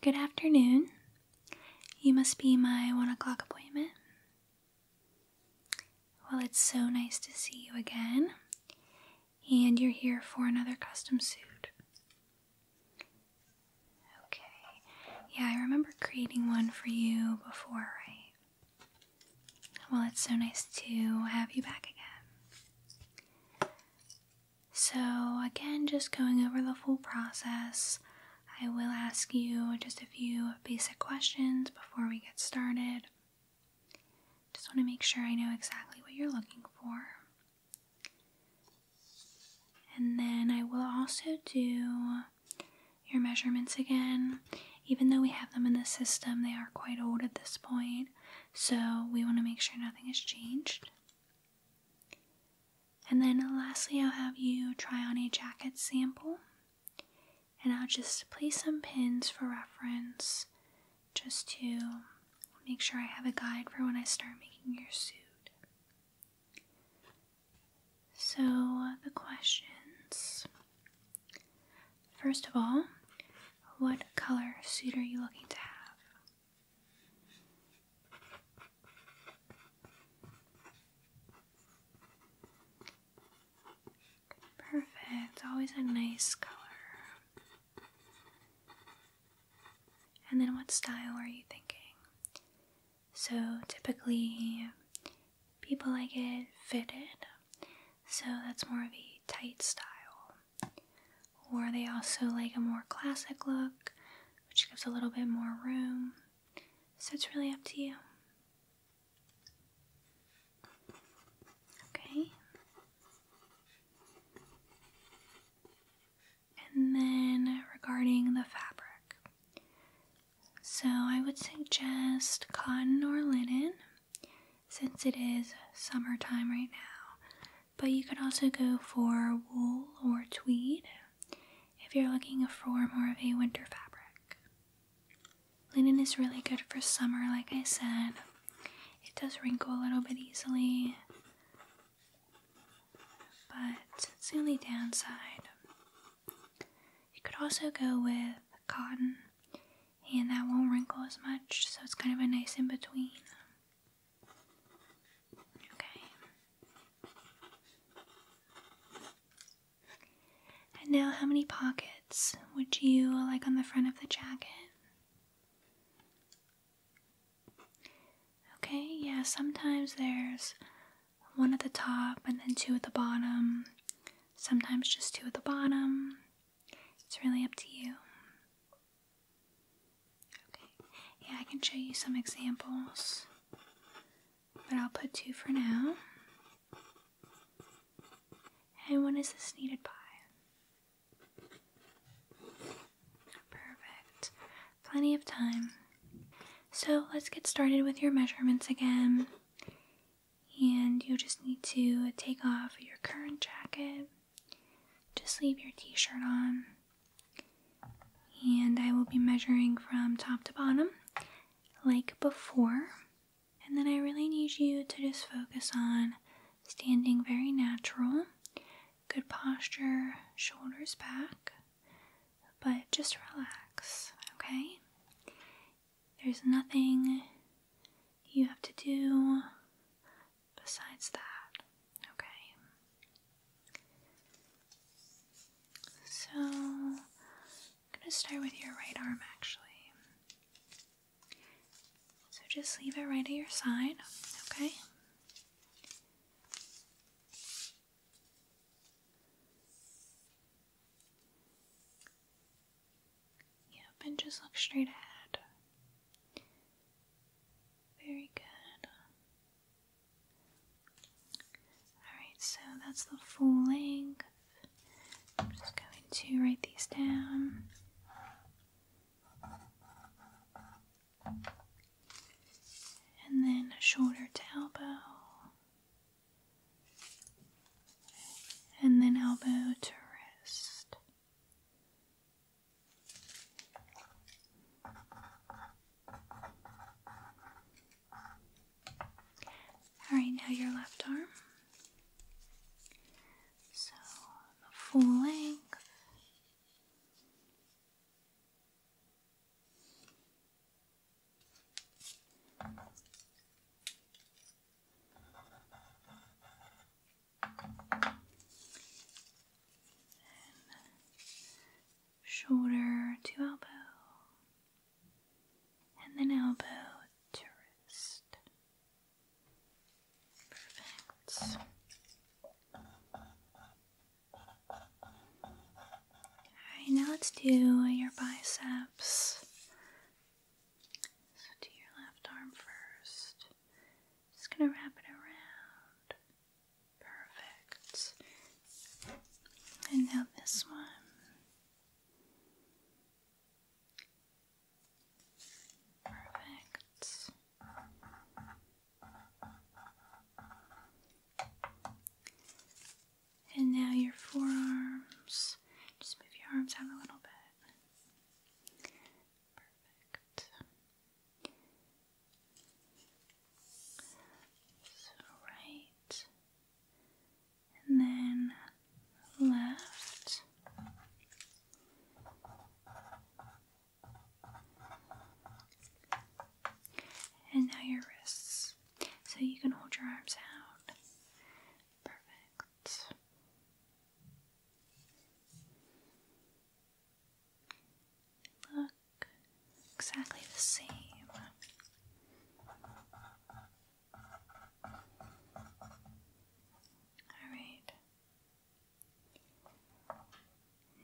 Good afternoon. You must be my one o'clock appointment. Well, it's so nice to see you again. And you're here for another custom suit. Okay. Yeah, I remember creating one for you before, right? Well, it's so nice to have you back again. So, again, just going over the full process, I will ask you just a few basic questions before we get started. Just want to make sure I know exactly what you're looking for. And then I will also do your measurements again. Even though we have them in the system, they are quite old at this point. So we want to make sure nothing has changed. And then lastly, I'll have you try on a jacket sample. And I'll just place some pins for reference just to make sure I have a guide for when I start making your suit. So, the questions First of all, what color suit are you looking to have? Perfect, always a nice color. And then, what style are you thinking? So, typically, people like it fitted, so that's more of a tight style. Or they also like a more classic look, which gives a little bit more room. So it's really up to you. Okay. And then regarding the fabric. So I would suggest cotton or linen since it is summertime right now. But you could also go for wool or tweed if you're looking for more of a winter fabric. Linen is really good for summer, like I said. It does wrinkle a little bit easily, but it's the only downside. You could also go with cotton and that won't wrinkle as much, so it's kind of a nice in between. Okay. And now, how many pockets would you like on the front of the jacket? Okay, yeah, sometimes there's one at the top and then two at the bottom. Sometimes just two at the bottom. It's really up to you. Okay, yeah, I can show you some examples, but I'll put two for now. And when is this needed by? Perfect. Plenty of time. So let's get started with your measurements again. And you'll just need to take off your current jacket just leave your t shirt on. And I will be measuring from top to bottom like before. And then I really need you to just focus on standing very natural, good posture, shoulders back, but just relax, okay? There's nothing you have to do besides that, okay? So, going to start with your right arm actually. So, just leave it right at your side, okay? Yep, and just look straight ahead. Very good. Alright, so that's the full length. I'm just going to write these down. And then shoulder to elbow. And then elbow to wrist. All right, now your left arm. So, full length shoulder to elbow, and then elbow to wrist. Perfect. Alright, now let's do your biceps. So, do your left arm first, just gonna wrap it around. Perfect. And now this one. Perfect. And now your forearms. Just move your arms out a little bit. Perfect. So right and then left. And now your wrists. So you can hold your arms out. Perfect. Look exactly the same. All right.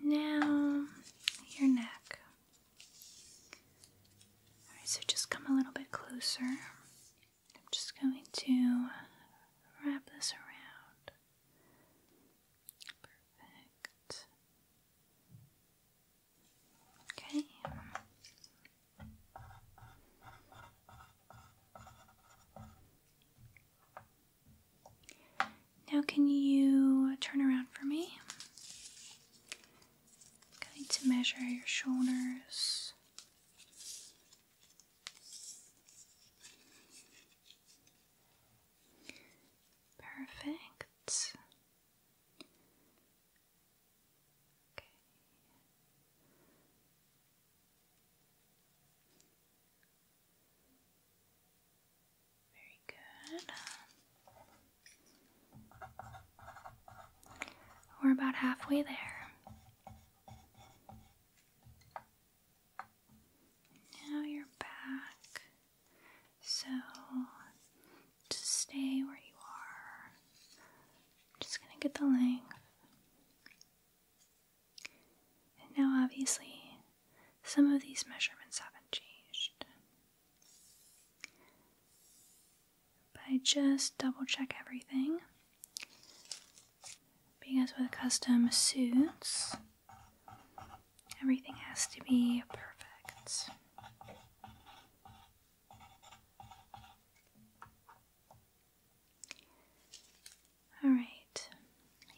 Now, your neck. All right, so just come a little bit closer. I'm just going to wrap this around. Perfect. Okay. Now, can you turn around for me? I'm going to measure your shoulders Perfect. Okay. Very good. We're about halfway there. Now you're back. So just stay where you are. Just gonna get the length. now, obviously, some of these measurements haven't changed. But I just double check everything. Because with custom suits, everything has to be perfect. Alright,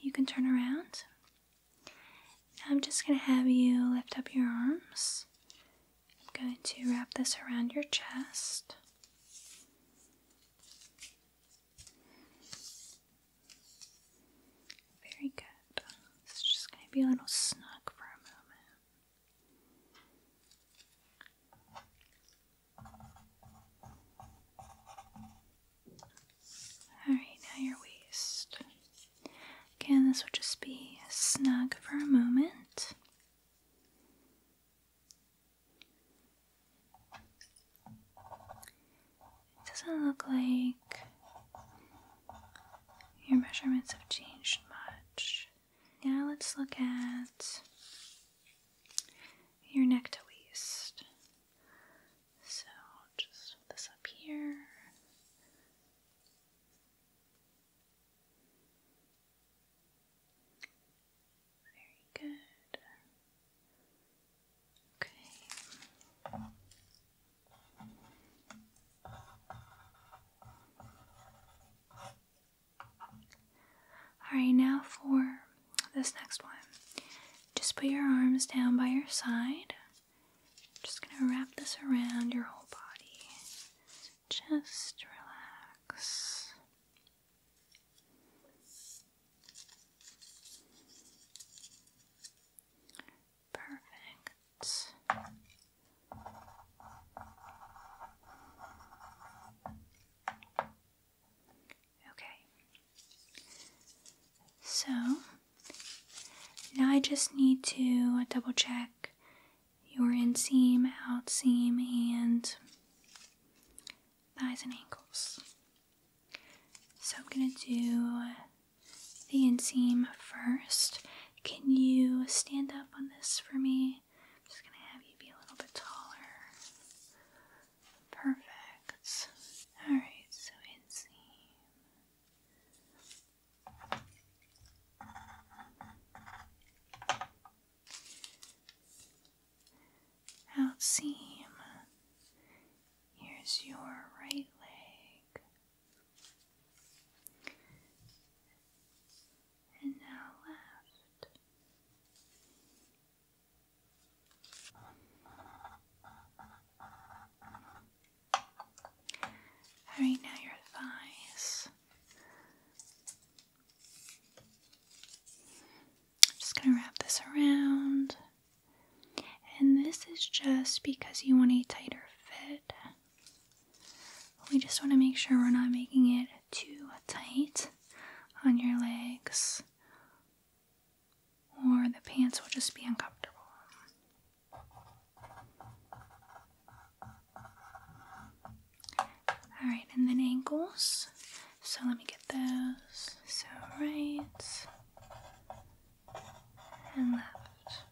you can turn around. I'm just going to have you lift up your arms. I'm going to wrap this around your chest. Very good. It's just going to be a little snug for a moment. Alright, now your waist. Again, this will just be snug for a moment. It doesn't look like your measurements have changed much. Now let's look at your neck to waist. So just this up here. Very good. Okay. Alright, now for this next one. Just put your arms down by your side. just going to wrap this around your whole body. Just relax. Perfect. Okay. So now I just need to double check your inseam, outseam, and thighs and ankles. So I'm going to do the inseam first. Can you stand up on this for me? I'm just going to have you be a little bit taller. Perfect. Alright, so inseam out seam. Here's your right leg. And now left. Alright, now your thighs. I'm just going to wrap this around. And this is just because you want a tighter fit. We just want to make sure we're not making it too tight on your legs, or the pants will just be uncomfortable. Alright, and then ankles. So let me get those. So right and left.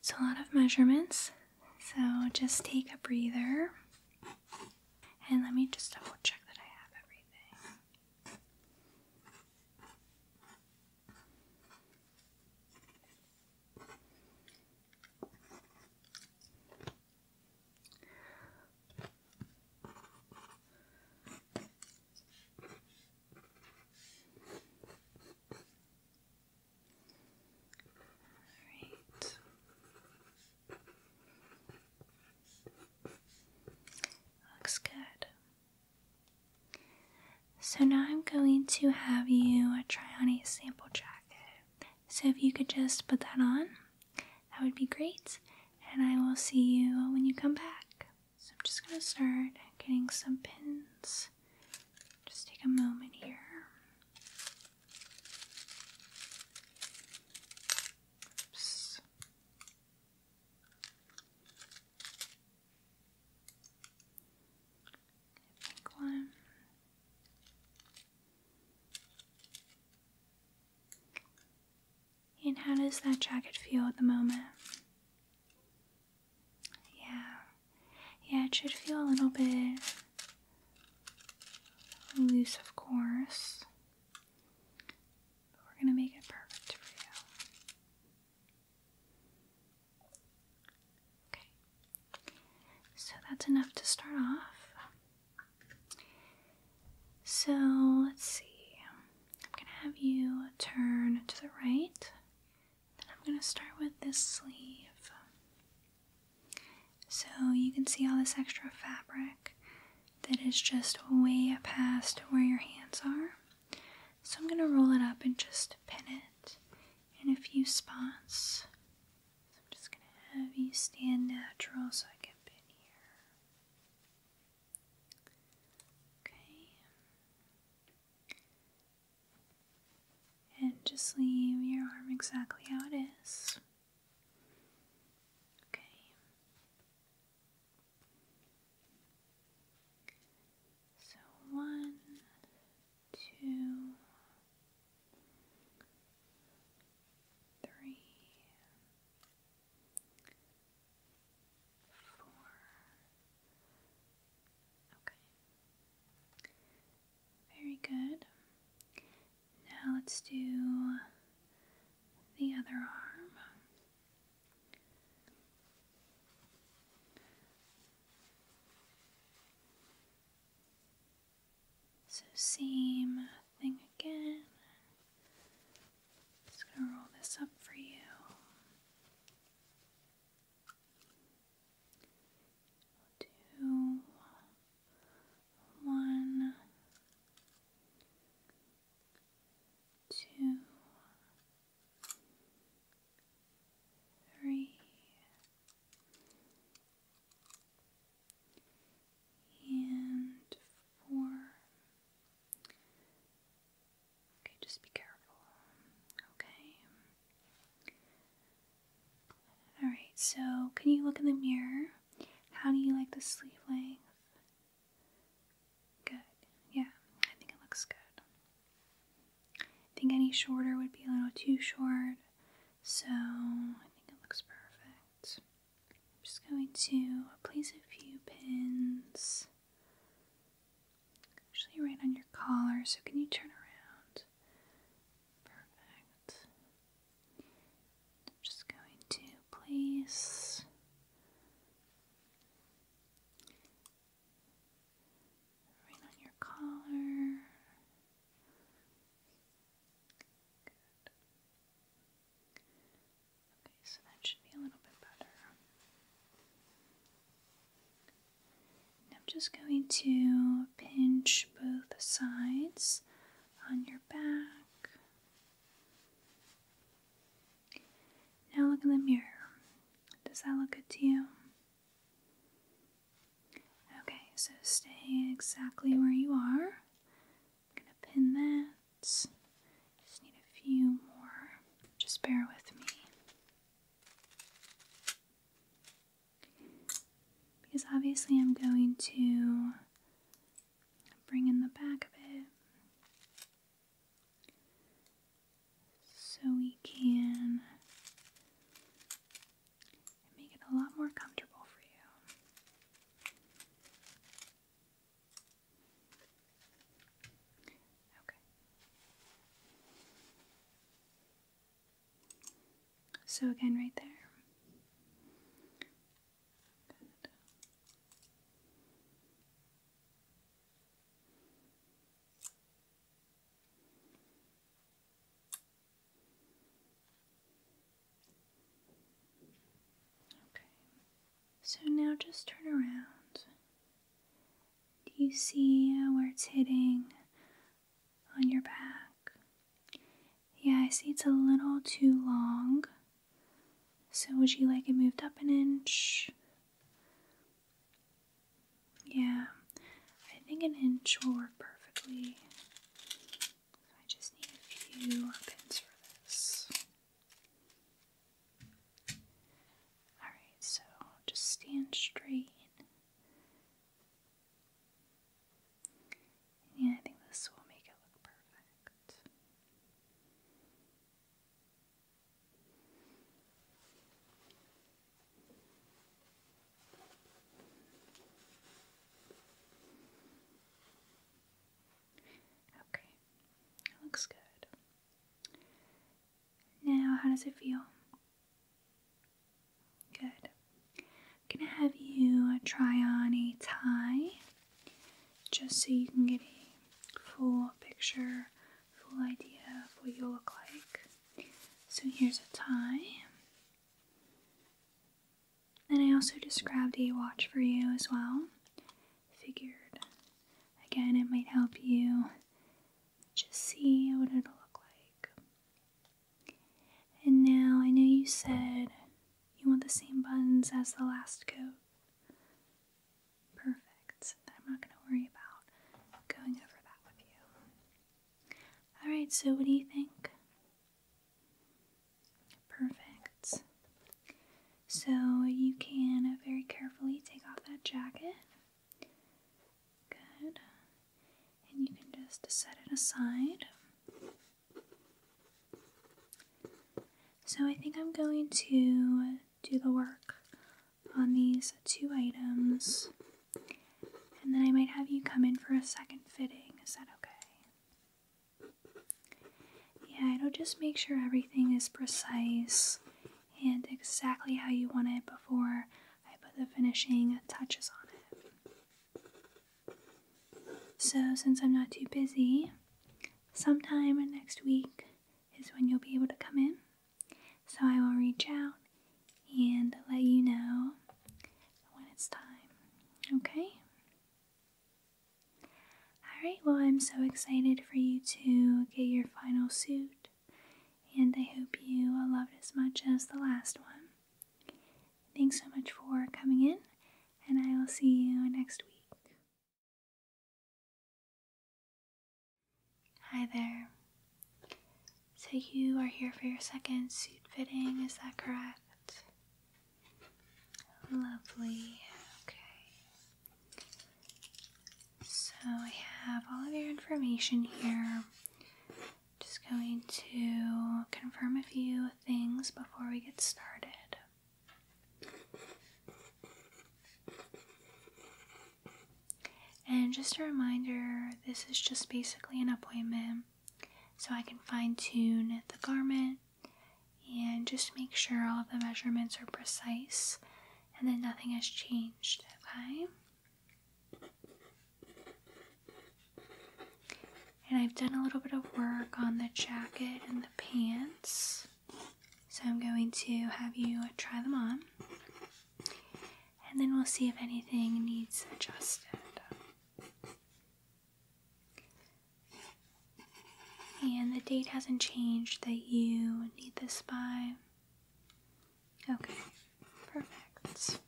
It's a lot of measurements, so just take a breather. And let me just double check that I have everything. Alright. Looks good. So now I'm going to have you try on a sample jacket so if you could just put that on, that would be great. And I will see you when you come back. So I'm just going to start getting some pins. Just take a moment here. Oops. one. And how does that jacket feel at the moment? Yeah. Yeah, it should feel a little bit loose, of course. But we're going to make it perfect for you. Okay, so that's enough to start off. So let's see, I'm gonna have you turn to the right, then I'm gonna start with this sleeve. So you can see all this extra fabric that is just way past where your hands are. So I'm going to roll it up and just pin it in a few spots I'm just gonna have you stand natural so I can fit here. Okay. And just leave your arm exactly how it is. Okay. So one, two, three, four. Okay. Very good. Now let's do the other arm. So same thing again. Just gonna roll this up for you. we and four. Okay, just be careful. Okay. Alright, so can you look in the mirror? How do you like the sleeve length? Good. Yeah, I think it looks good. I think any shorter would be a little too short. So I think it looks perfect. I'm just going to place a few pins actually right on your collar. So can you turn around? Perfect. just going to place right on your collar. Okay, so that should be a little bit better. I'm just going to pinch both sides on your back. Now look in the mirror. Does that look good to you? Okay, so stay exactly where you are. I'm gonna pin that. Just need a few more. Just bear with me. Because obviously I'm going to bring in the back of it so we can make it a lot more comfortable for you. Okay. So again, right there. Okay, so now just turn around. Do you see uh, where it's hitting on your back? Yeah, I see it's a little too long. So, would you like it moved up an inch? Yeah, I think an inch will work perfectly. I just need a few pins for this. Alright, so just stand straight. Yeah, I think this will make it look perfect. Okay, looks good. Now, how does it feel? Good. I'm gonna have you try on a tie just so you can get a full picture, full idea of what you look like. So, here's a tie. And I also just grabbed a watch for you as well. Figured, again, it might help you just see what it'll look like. And now I know you said you want the same buttons as the last coat. Perfect. I'm not going to worry about going over that with you. Alright, so what do you think? Perfect. So you can very carefully take off that jacket. Good. And you can just set it aside. So I think I'm going to do the work on these two items and then I might have you come in for a second fitting. Is that okay? Yeah, it'll just make sure everything is precise and exactly how you want it before I put the finishing touches on it. So, since I'm not too busy, sometime next week is when you'll be able to come in. So, I will reach out and let you know when it's time. Okay? Alright, well, I'm so excited for you to get your final suit, and I hope you love it as much as the last one. Thanks so much for coming in, and I will see you next week. Hi there. So you are here for your second suit fitting, is that correct? Lovely. Okay. So I have all of your information here. Just going to confirm a few things before we get started. And just a reminder, this is just basically an appointment so I can fine tune the garment and just make sure all of the measurements are precise and then nothing has changed, okay? And I've done a little bit of work on the jacket and the pants. So I'm going to have you try them on. And then we'll see if anything needs adjusted. And the date hasn't changed that you need this by. Okay, perfect.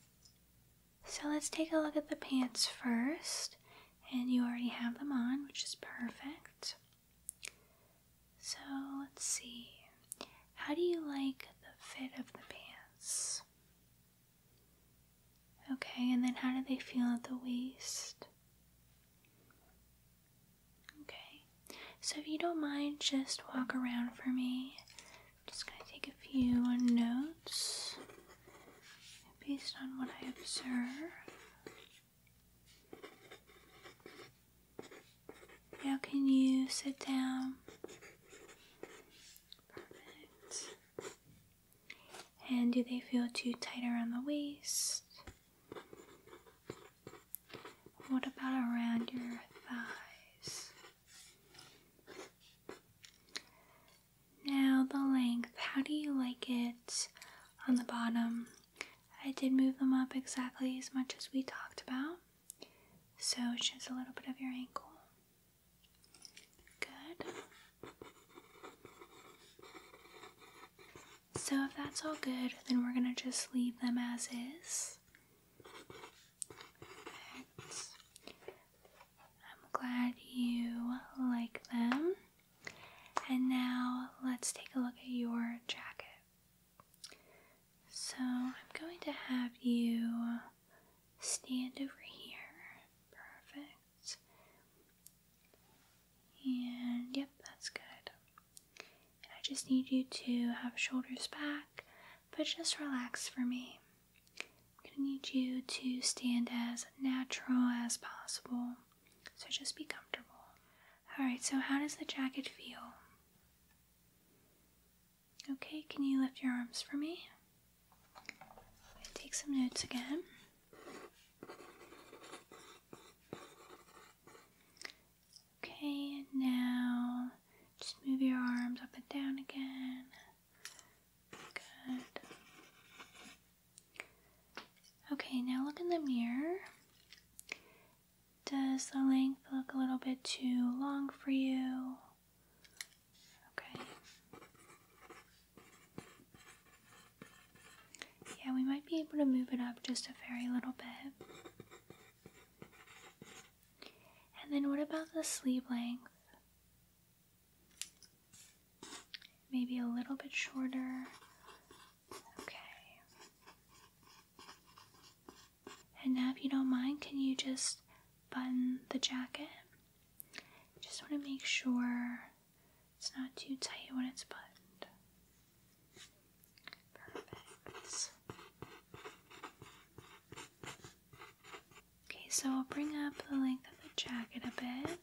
So let's take a look at the pants first. And you already have them on, which is perfect. So let's see. How do you like the fit of the pants? Okay, and then how do they feel at the waist? Okay, so if you don't mind, just walk around for me. just gonna take a few notes based on what I observe. Now, can you sit down? Perfect. And do they feel too tight around the waist? What about around your thighs? Now, the length, how do you like it on the bottom? I did move them up exactly as much as we talked about, so it's just a little bit of your ankle. Good. So, if that's all good, then we're gonna just leave them as is. I'm glad you like them. And now let's take a look at your jacket. So, I'm going to have you stand over here. Perfect. And yep, that's good. And I just need you to have shoulders back, but just relax for me. I'm going to need you to stand as natural as possible. So just be comfortable. Alright, so how does the jacket feel? Okay, can you lift your arms for me? take some notes again. Okay, and now just move your arms up and down again. Good. Okay, now look in the mirror. Does the length look a little bit too long for you? Okay. Yeah, we might be able to move it up just a very little bit. And then what about the sleeve length? Maybe a little bit shorter. Okay. And now, if you don't mind, can you just button the jacket? Just want to make sure it's not too tight when it's buttoned. Perfect. Okay, so I'll bring up the length of the jacket a bit.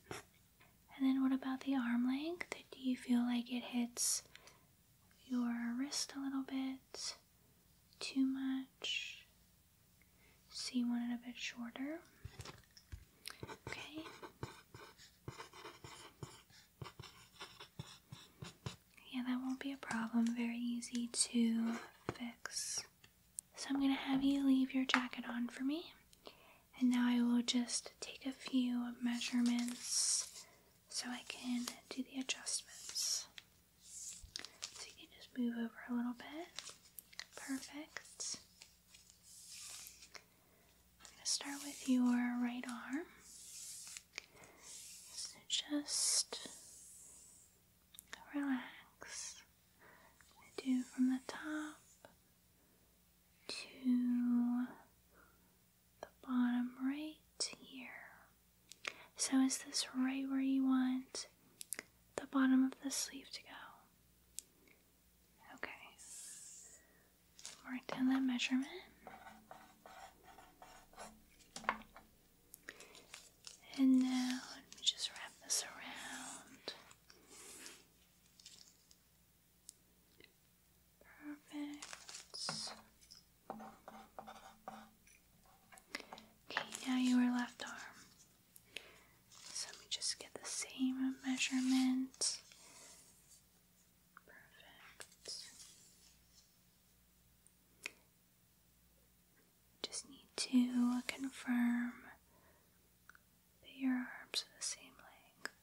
And then what about the arm length? Do you feel like it hits your wrist a little bit? Too much? So you want a bit shorter. Okay. Yeah, that won't be a problem. Very easy to fix. So I'm going to have you leave your jacket on for me. And now I will just take a few measurements so I can do the adjustments. So you can just move over a little bit. Perfect. I'm going to start with your right arm. So just relax. i do from the top to the bottom right here. So, is this right where you want the bottom of the sleeve to go. Okay. Mark down that measurement. And now let me just wrap this around. Perfect. Okay, now your left arm. So we just get the same measurement. Perfect. Just need to confirm that your arms are the same length.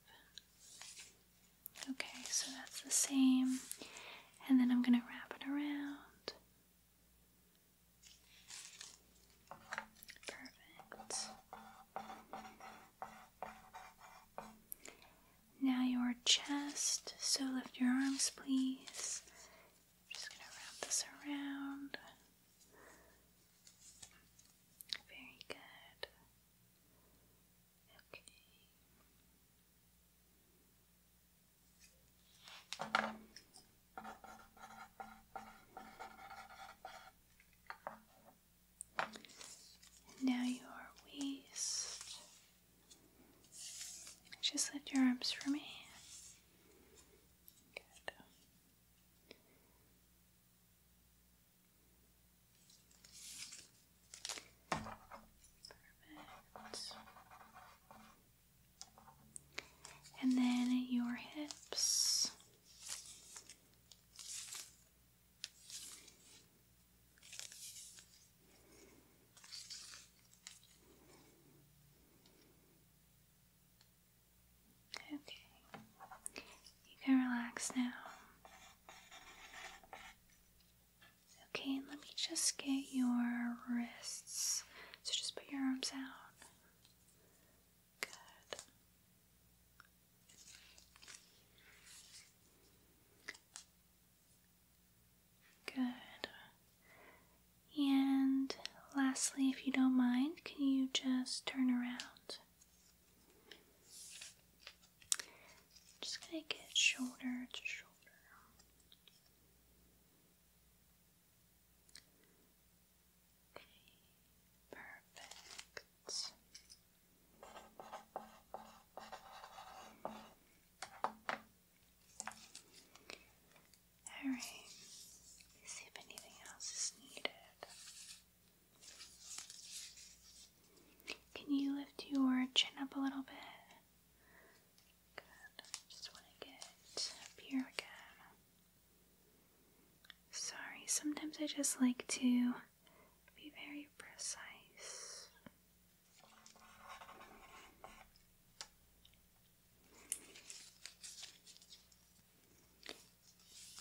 Okay, so that's the same. And then I'm going to wrap it around. Perfect. Now your chest, so lift your arms please. just going to wrap this around. Very good. Okay. And now your waist. Just lift your arms for me. Good. Perfect and then your hips. Okay, you can relax now. Okay, and let me just get your wrists. So just put your arms out. Good. Good. And lastly, if you don't mind, can you just turn around? just gonna get shoulder to shoulder perfect. Alright, see if anything else is needed. Can you lift your chin up a little bit? Good, just want to get up here again. Sorry, sometimes I just like to be very precise.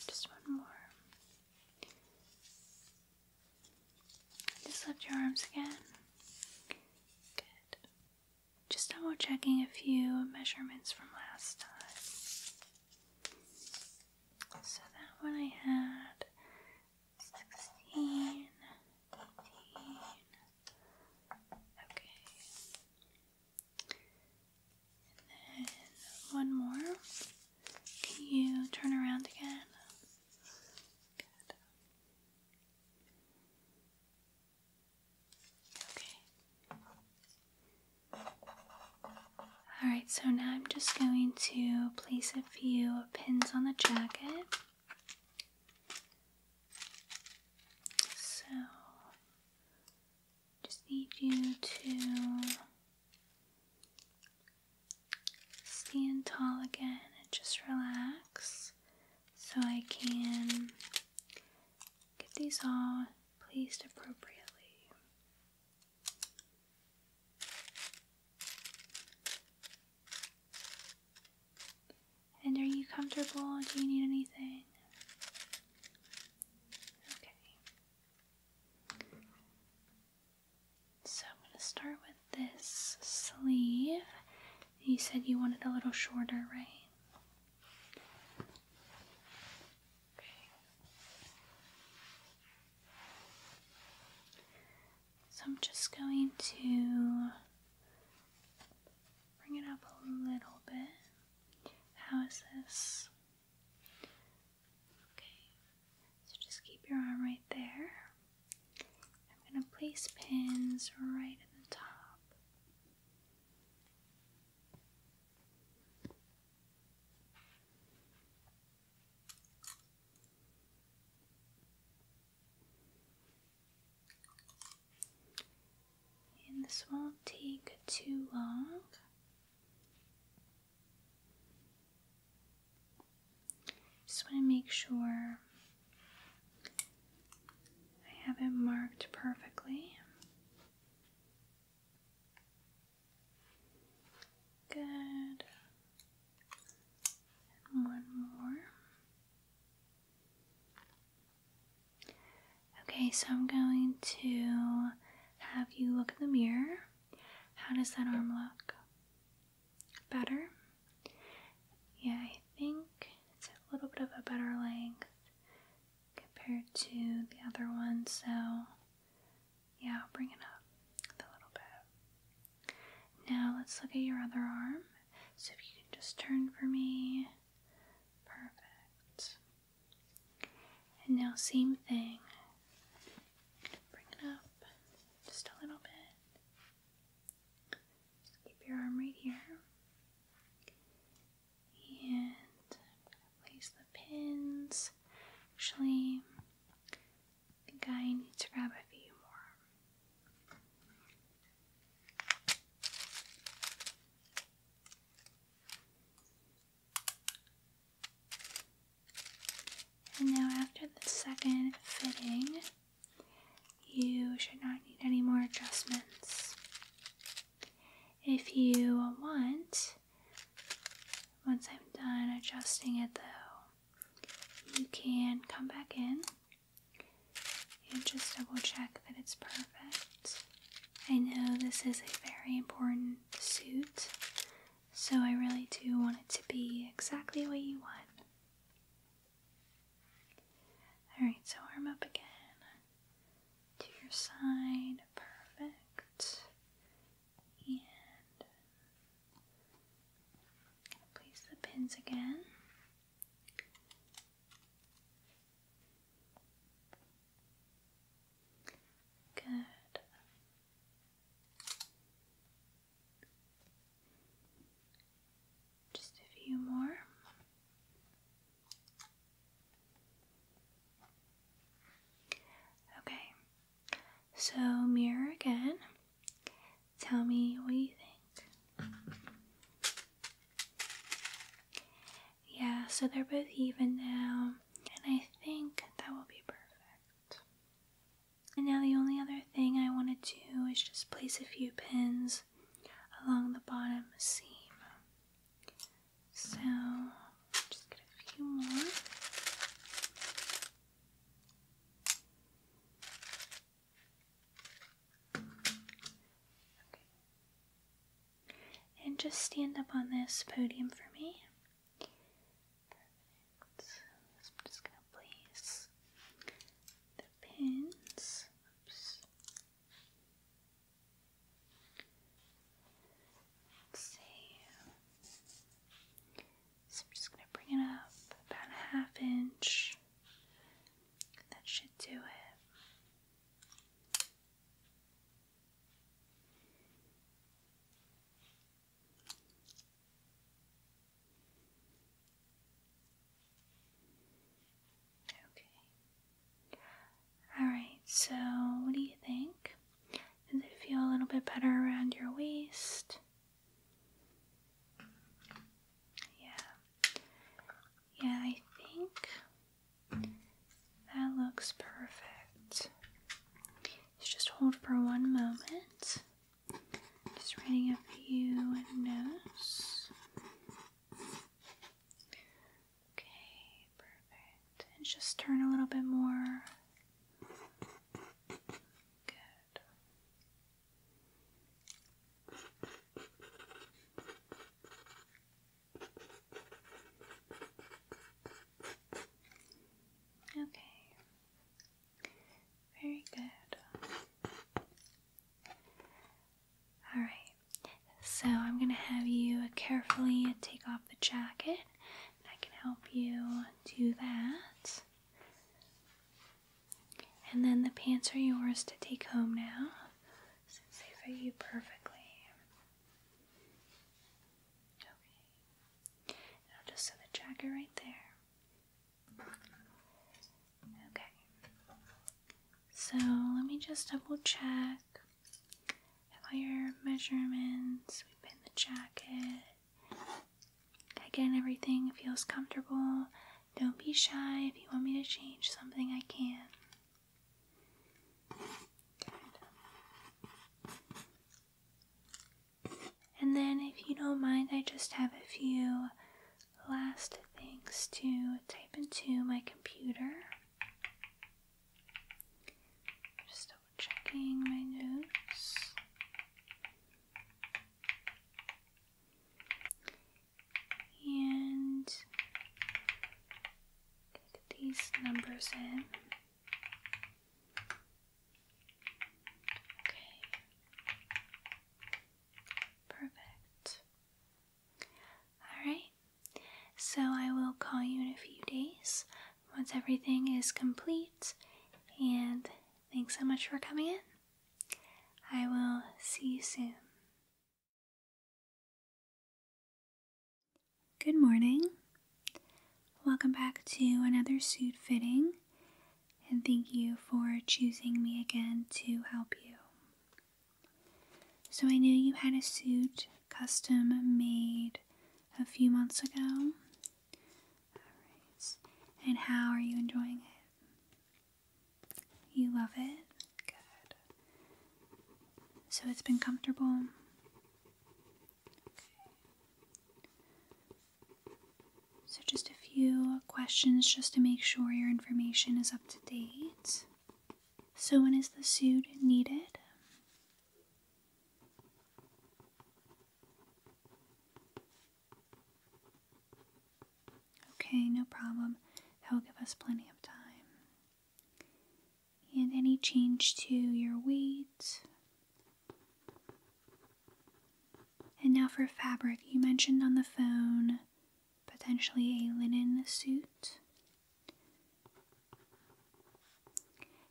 Just one more. Just lift your arms again. Good. Just double checking a few measurements from last time. So that one I had 16, Okay. And one more. Can you turn around again? Okay. Alright, so now I'm just going to place a few pins on the jacket. So, just need you to stand tall again and just relax so I can Get these all placed appropriately. And are you comfortable? Do you need anything? Okay. So I'm going to start with this sleeve. You said you wanted a little shorter, right? So I'm just going to bring it up a little bit. How is this? Okay. So just keep your arm right there. I'm going to place pins right at the top. And this won't take too long. Just want to make sure I have it marked perfectly. Good. one more. Okay, so I'm going to have you look in the mirror. How does that arm look? Better? Yeah, I think it's a little bit of a better length compared to the other one, so yeah, I'll bring it up a little bit. Now let's look at your other arm. So if you can just turn for me. Perfect. And now same thing. Bring it up just a little bit. Just keep your arm right here. And I'm going to place the pins. Actually, I think I need to grab a few more. And now after the second fitting, you should not need any more adjustments. If you want, once I'm done adjusting it though, you can come back in and just double check that it's perfect. I know this is a very important suit, so I really do want it to be exactly what you want. Alright, so arm up again to your side. Perfect. And place the pins again. Good. Just a few more. Okay, so mirror again. Tell me what you think. Yeah, so they're both even now, and I think that will be perfect. And now the only other thing I want to do is just place a few pins along the bottom seam. So, just get a few more. Okay. And just stand up on this podium for me. I'm just going to place the pins. So I'm just gonna bring it up about a half inch. That should do it. Okay. Alright, so what do you think? Does it feel a little bit better around your waist? Yeah. Yeah, I think that looks perfect. just hold for one moment. Just writing a few notes. Okay, perfect. And just turn a little bit more. Good. Okay. Very good. Alright, so I'm going to have you carefully take off the jacket. I can help you do that. And then the pants are yours to take home now, since they fit you perfectly. Okay. I'll just sew the jacket right there. Okay. So let me just double check. All your measurements, we pin the jacket. Again, everything feels comfortable. Don't be shy. If you want me to change something, I can. And then, if you don't mind, I just have a few last things to type into my computer. Just checking my notes. And get these numbers in. Okay. Perfect. Alright, so I will call you in a few days once everything is complete, and thanks so much for coming in. I will see you soon. Good morning. Welcome back to another suit fitting, and thank you for choosing me again to help you. So I knew you had a suit custom made a few months ago. And how are you enjoying it? You love it? Good. So it's been comfortable? So just a few questions just to make sure your information is up to date. So, when is the suit needed? Okay, no problem. That will give us plenty of time. And any change to your weight. And now for fabric. You mentioned on the phone potentially a linen suit.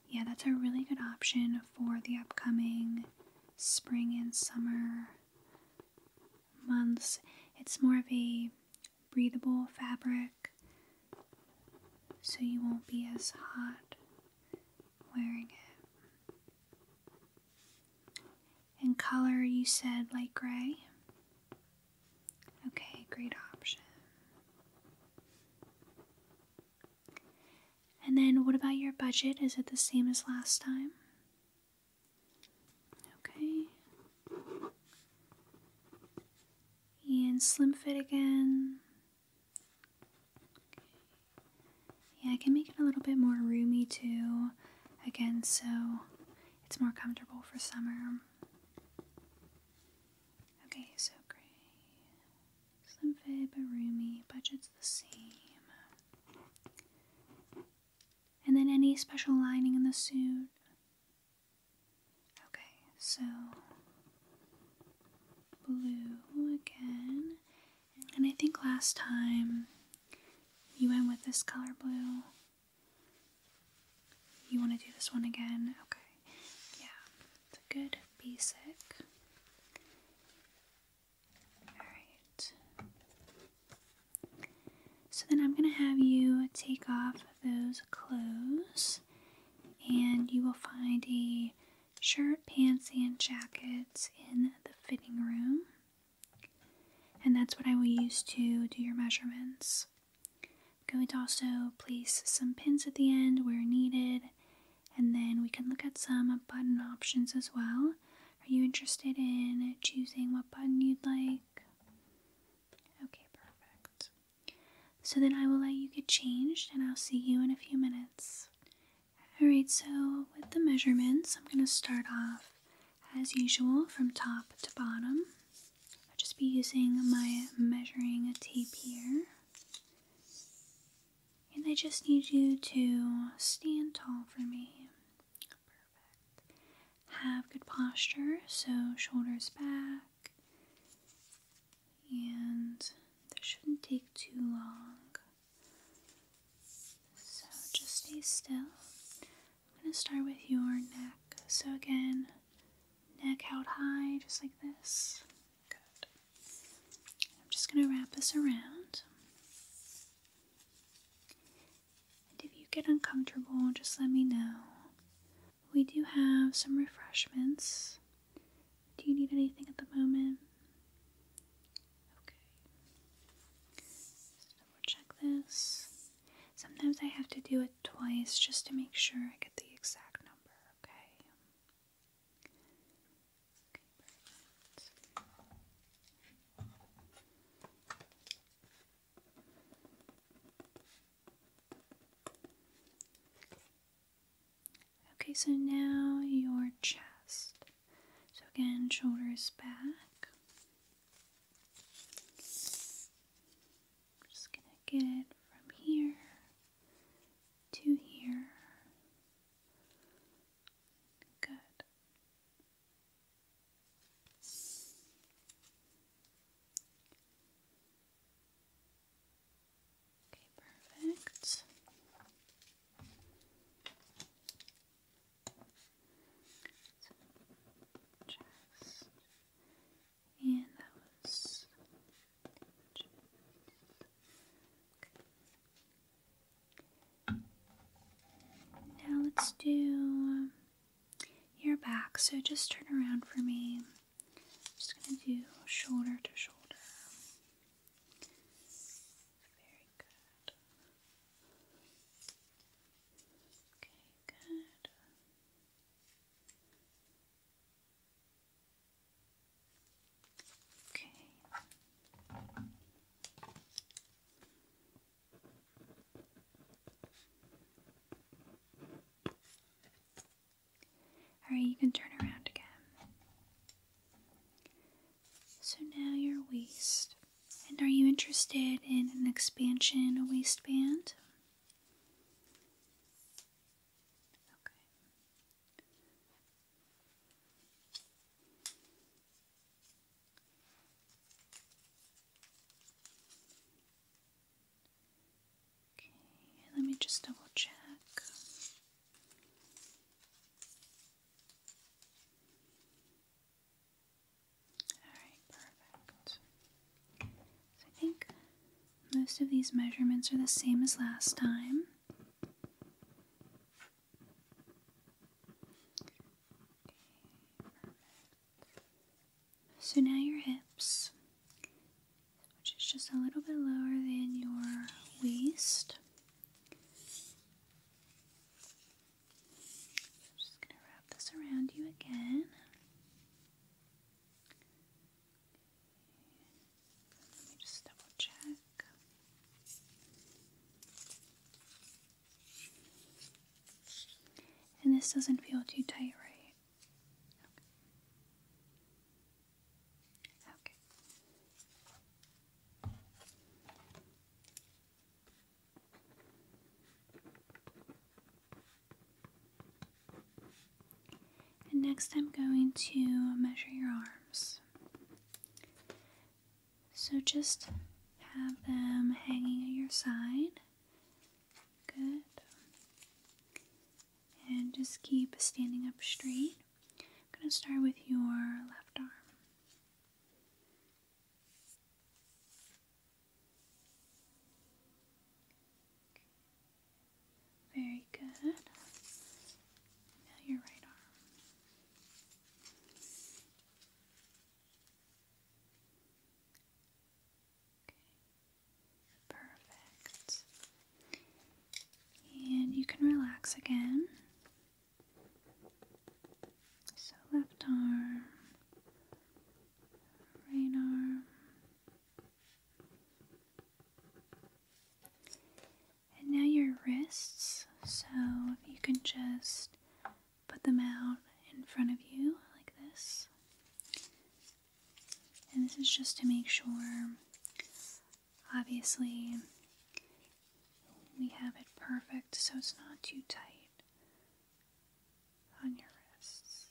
Yeah, that's a really good option for the upcoming spring and summer months. It's more of a breathable fabric, so you won't be as hot wearing it. And color, you said light gray. Okay, great option. And then what about your budget? Is it the same as last time? Okay. And slim fit again. Yeah, I can make it a little bit more roomy too. Again, so it's more comfortable for summer. Okay, so gray. Slim fit but roomy. Budget's the same. And then any special lining in the suit? Okay, so blue again. And I think last time you went with this color blue. You want to do this one again? Okay. Yeah. It's a good basic. Alright. So then I'm going to have you take off those clothes and you will find a shirt, pants, and jackets in the fitting room. And that's what I will use to do your measurements going to also place some pins at the end where needed, and then we can look at some button options as well. Are you interested in choosing what button you'd like? Okay, perfect. So then I will let you get changed and I'll see you in a few minutes. Alright, so with the measurements, I'm going to start off as usual from top to bottom. I'll just be using my measuring tape here. And I just need you to stand tall for me. Perfect. Have good posture, so shoulders back. And this shouldn't take too long. So just stay still. I'm going to start with your neck. So, again, neck out high, just like this. Good. I'm just going to wrap this around. if you get uncomfortable, just let me know. We do have some refreshments. Do you need anything at the moment? Okay. Just double check this. Sometimes I have to do it twice just to make sure I get the exact number, okay? Okay, so now your chest. So again, shoulders back. I'm just gonna get from here to here. Good. Okay, perfect. just and that was Now let's do um, your back. So just turn around for me. just gonna do shoulder to shoulder. Very good. Okay, good. Okay. All right, you can turn around again. So now your waist. And are you interested in an expansion waistband? Okay. Okay, let me just double check. Alright, perfect. So I think most of these measurements are the same as last time. So now your hips, which is just a little bit lower than your waist. I'm just going to wrap this around you again. Let me just double check. And this doesn't feel too tight, right? Okay. And next I'm going to measure your arms. So just have them hanging at your side. Good. And just keep standing up straight. I'm going to start with your left arm. Very good. Now your right arm. Perfect. And you can relax again. So left arm, right arm, and now your wrists. So you can just put them out in front of you like this. And this is just to make sure, obviously, we have it perfect so it's not too tight on your wrists.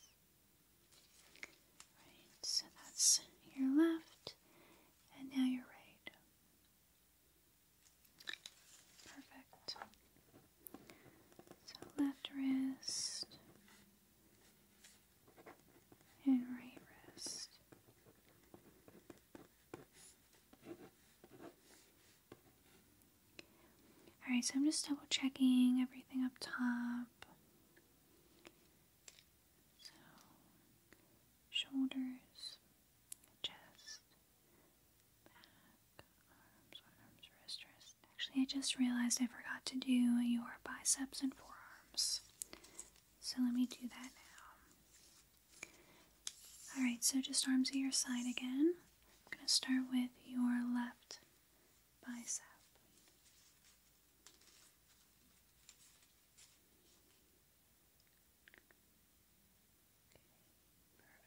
Right, so that's your left, and now your right. Perfect. So left wrist and right wrist. Alright, so I'm just double checking everything up top. So, shoulders, chest, back, arms, arms, wrist, wrist. Actually, I just realized I forgot to do your biceps and forearms. So let me do that now. Alright, so just arms at your side again. I'm going to start with your left bicep.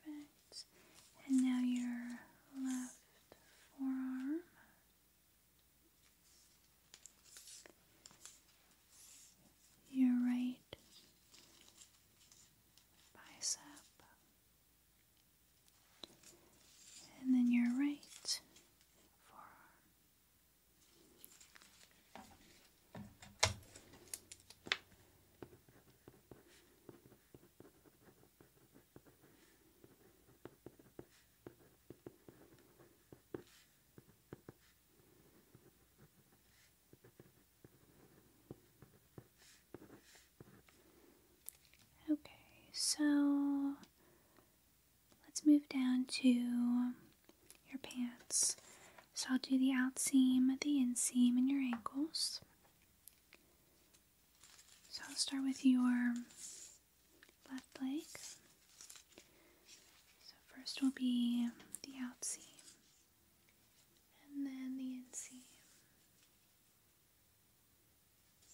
Okay, perfect. And now your left forearm. Your right bicep and then your right forearm. Okay, so let's move down to your pants. So I'll do the out seam, the inseam, and your ankles. So I'll start with your left leg. So first will be the out seam and then the inseam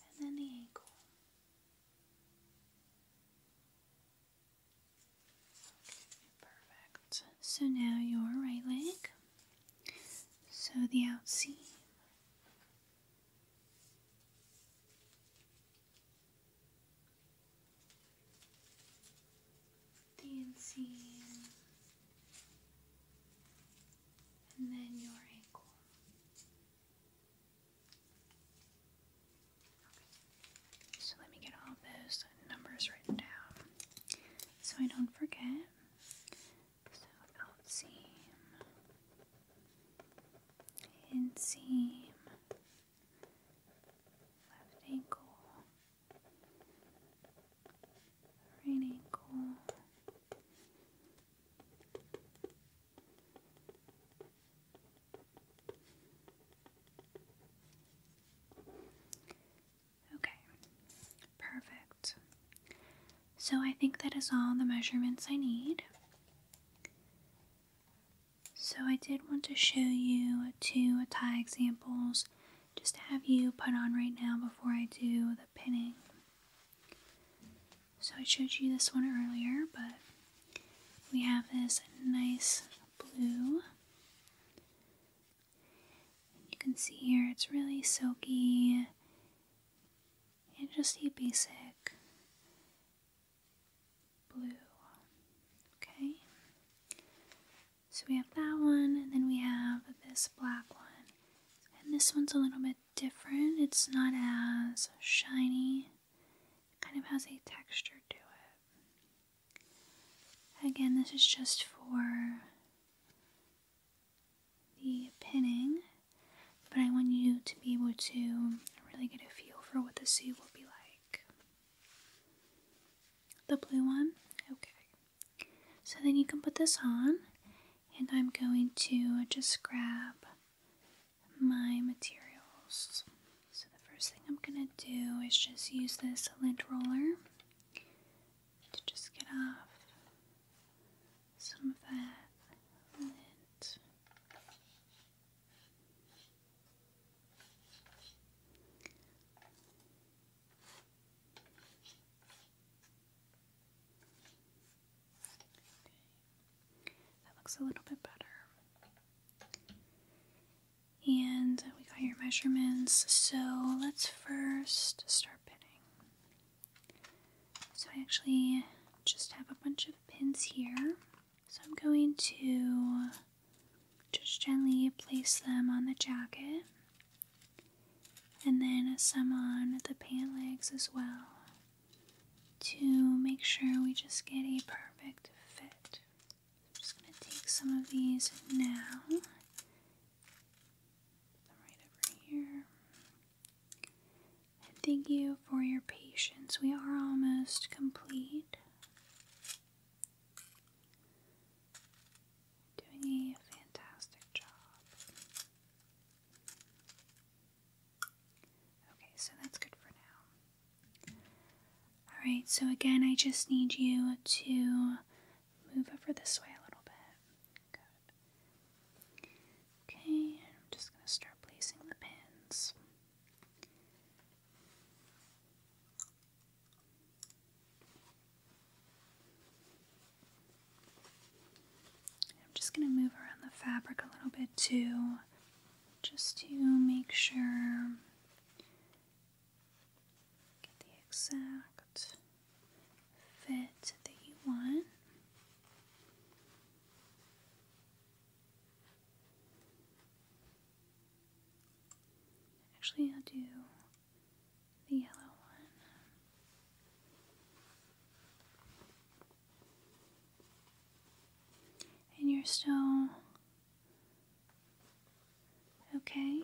and then the ankle. perfect. So now your right leg. So the out seam. The inseam. And then your ankle. So let me get all those numbers written down so I don't forget. So outseam, inseam, left ankle, right ankle, Okay, perfect. So I think that is all the measurements I need. So I did want to show you two tie examples just to have you put on right now before I do the pinning. So I showed you this one earlier, but we have this nice blue. You can see here it's really silky and just a basic blue. Okay, so we have that one, and then we have this black one, and this one's a little bit different. It's not as shiny. kind of has a texture to it. Again, this is just for the pinning, but I want you to be able to really get a feel for what the suit will be like. The blue one? Okay. So then you can put this on and I'm going to just grab my materials. So, the first thing I'm going to do is just use this lint roller to just get off some of that lint. That looks a little bit better. And uh, we got your measurements, so let's first start pinning. So I actually just have a bunch of pins here. So I'm going to just gently place them on the jacket and then some on the pant legs as well to make sure we just get a perfect fit. I'm just going to take some of these now. right over here. thank you for your patience. We are almost complete. Doing a fantastic job. Okay, so that's good for now. Alright, so again, I just need you to move over this way a little bit. Okay, I'm just going to start placing the pins. I'm just going to move around the fabric a little bit too, just to make sure get the exact fit that you want. Actually, I'll do the yellow one. And you're still okay?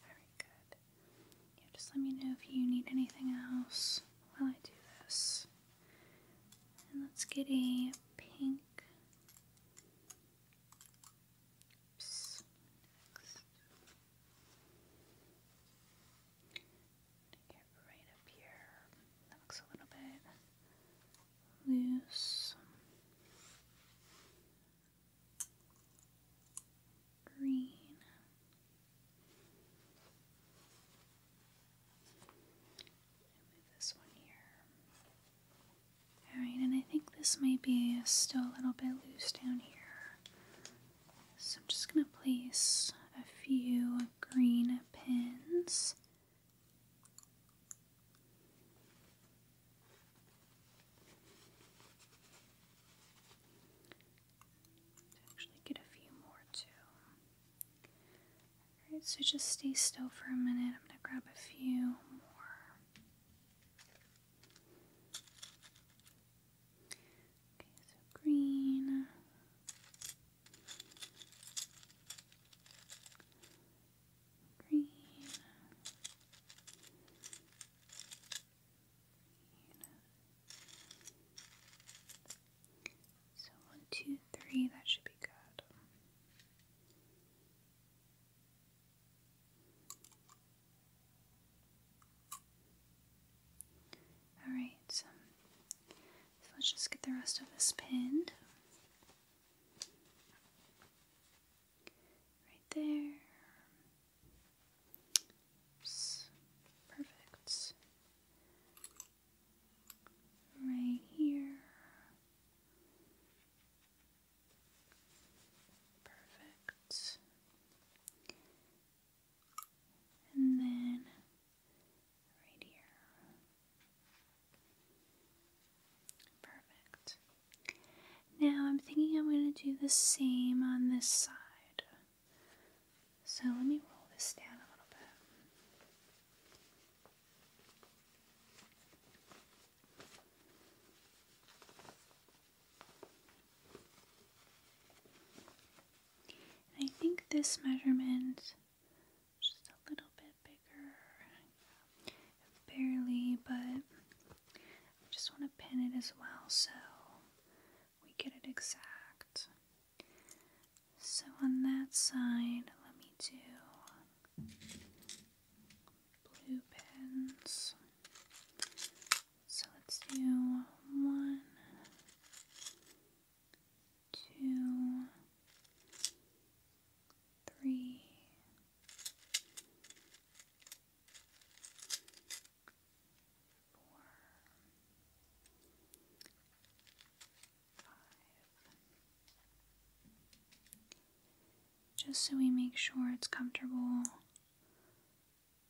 Alright, good. just let me know if you need anything else while I do this. And let's get a pink right up here. That looks a little bit loose. Green. Move this one here. Alright, and I think this might be still a little bit loose down here. So I'm just going to place a few green pins. Actually, get a few more too. Alright, so just stay still for a minute. I'm going to grab a few more. Okay, so green. Green. So one, two, three, that should be good. Alright, so let's just get the rest of this pinned. Right there. Perfect. Right here. Perfect and then right here. Perfect. Now I'm thinking I'm going to do the same on this side. So let me roll this down a little bit. I think this measurement just a little bit bigger. Barely, but I just want to pin it as well so we get it exact. So on that side, let me do blue pins. So let's do one, two, three, four, five. Just so we make sure it's comfortable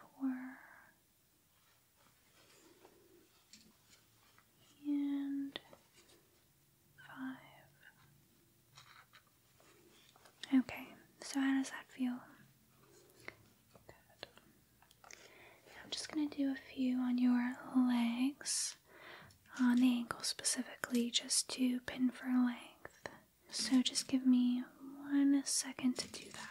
four, and five. Okay, so how does that feel? Good. I'm just going to do a few on your legs, on the ankle specifically, just to pin for length. So just give me one second to do that.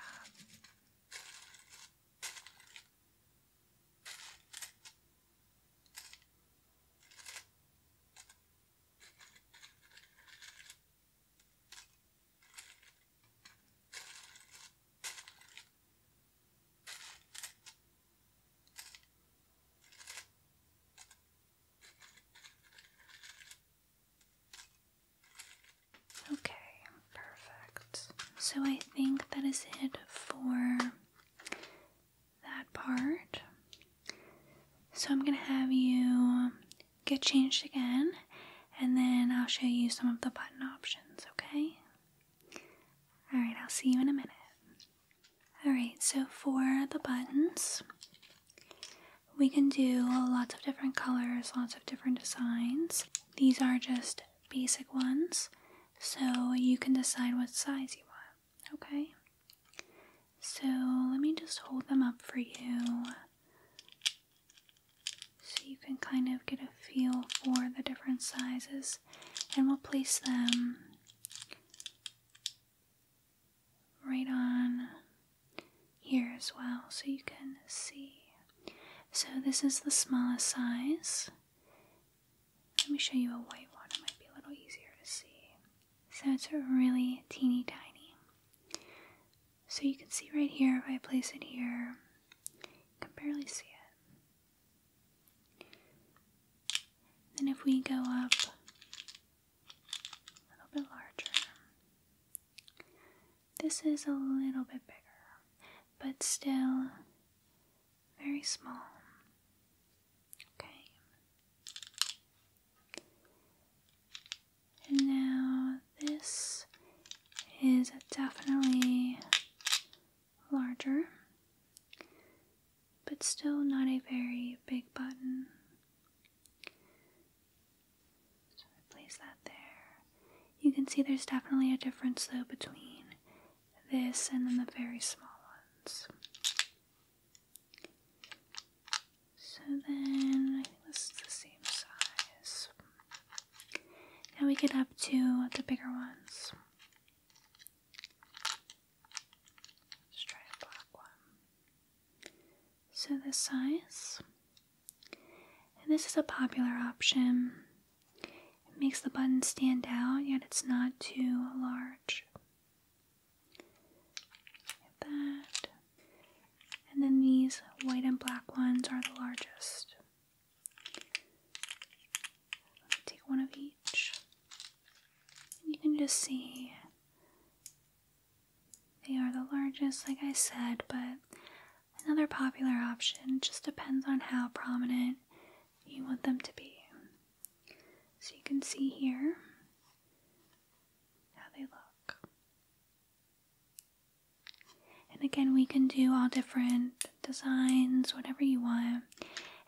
Okay, perfect. So I think that is it for that part. So I'm gonna have you get changed again and then I'll show you some of the button options, okay? Alright, I'll see you in a minute. Alright, so for the buttons, we can do lots of different colors, lots of different designs. These are just basic ones, so you can decide what size you want, okay? So let me just hold them up for you so you can kind of get a feel for the different sizes and we'll place them right on here as well so you can see. So, this is the smallest size. Let me show you a white one, it might be a little easier to see. So, it's really teeny tiny. So, you can see right here if I place it here, you can barely see it. Then, if we go up a little bit larger. This is a little bit bigger, but still very small. Okay. And now this is definitely larger but still not a very big button. So I place that there. You can see there's definitely a difference though between this and then the very small ones. So then I think this is the same size. Now we get up to the bigger ones. Let's try a black one. So the size. And this is a popular option. It makes the button stand out, yet it's not too large. Like that. And then these white and black ones are the largest. Take one of each. You can just see they are the largest, like I said, but another popular option just depends on how prominent you want them to be. So you can see here how they look. And again, we can do all different designs, whatever you want.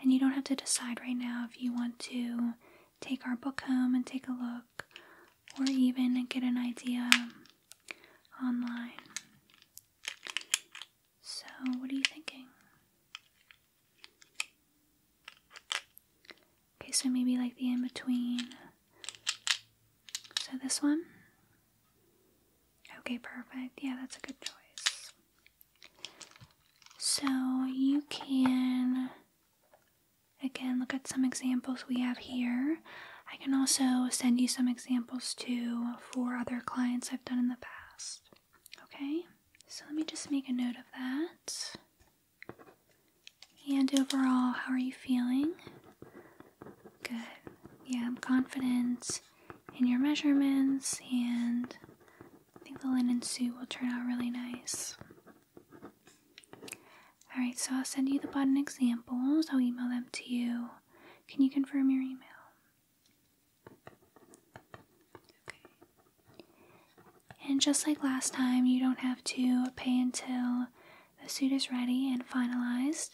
And you don't have to decide right now if you want to take our book home and take a look, or even get an idea online. So, what are you thinking? Okay, so maybe like the in between. So, this one? Okay, perfect. Yeah, that's a good choice. So, you can Again, look at some examples we have here. I can also send you some examples too for other clients I've done in the past. Okay, so let me just make a note of that. And overall, how are you feeling? Good. Yeah, I'm confident in your measurements, and I think the linen suit will turn out really nice. Alright, so I'll send you the button examples. I'll email them to you. Can you confirm your email? Okay. And just like last time, you don't have to pay until the suit is ready and finalized.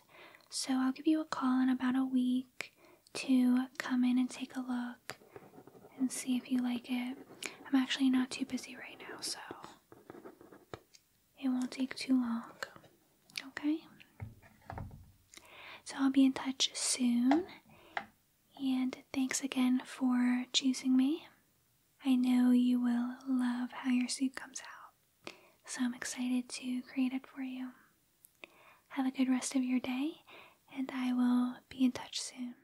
So I'll give you a call in about a week to come in and take a look and see if you like it. I'm actually not too busy right now, so it won't take too long. Okay? So I'll be in touch soon. And thanks again for choosing me. I know you will love how your suit comes out, so I'm excited to create it for you. Have a good rest of your day, and I will be in touch soon.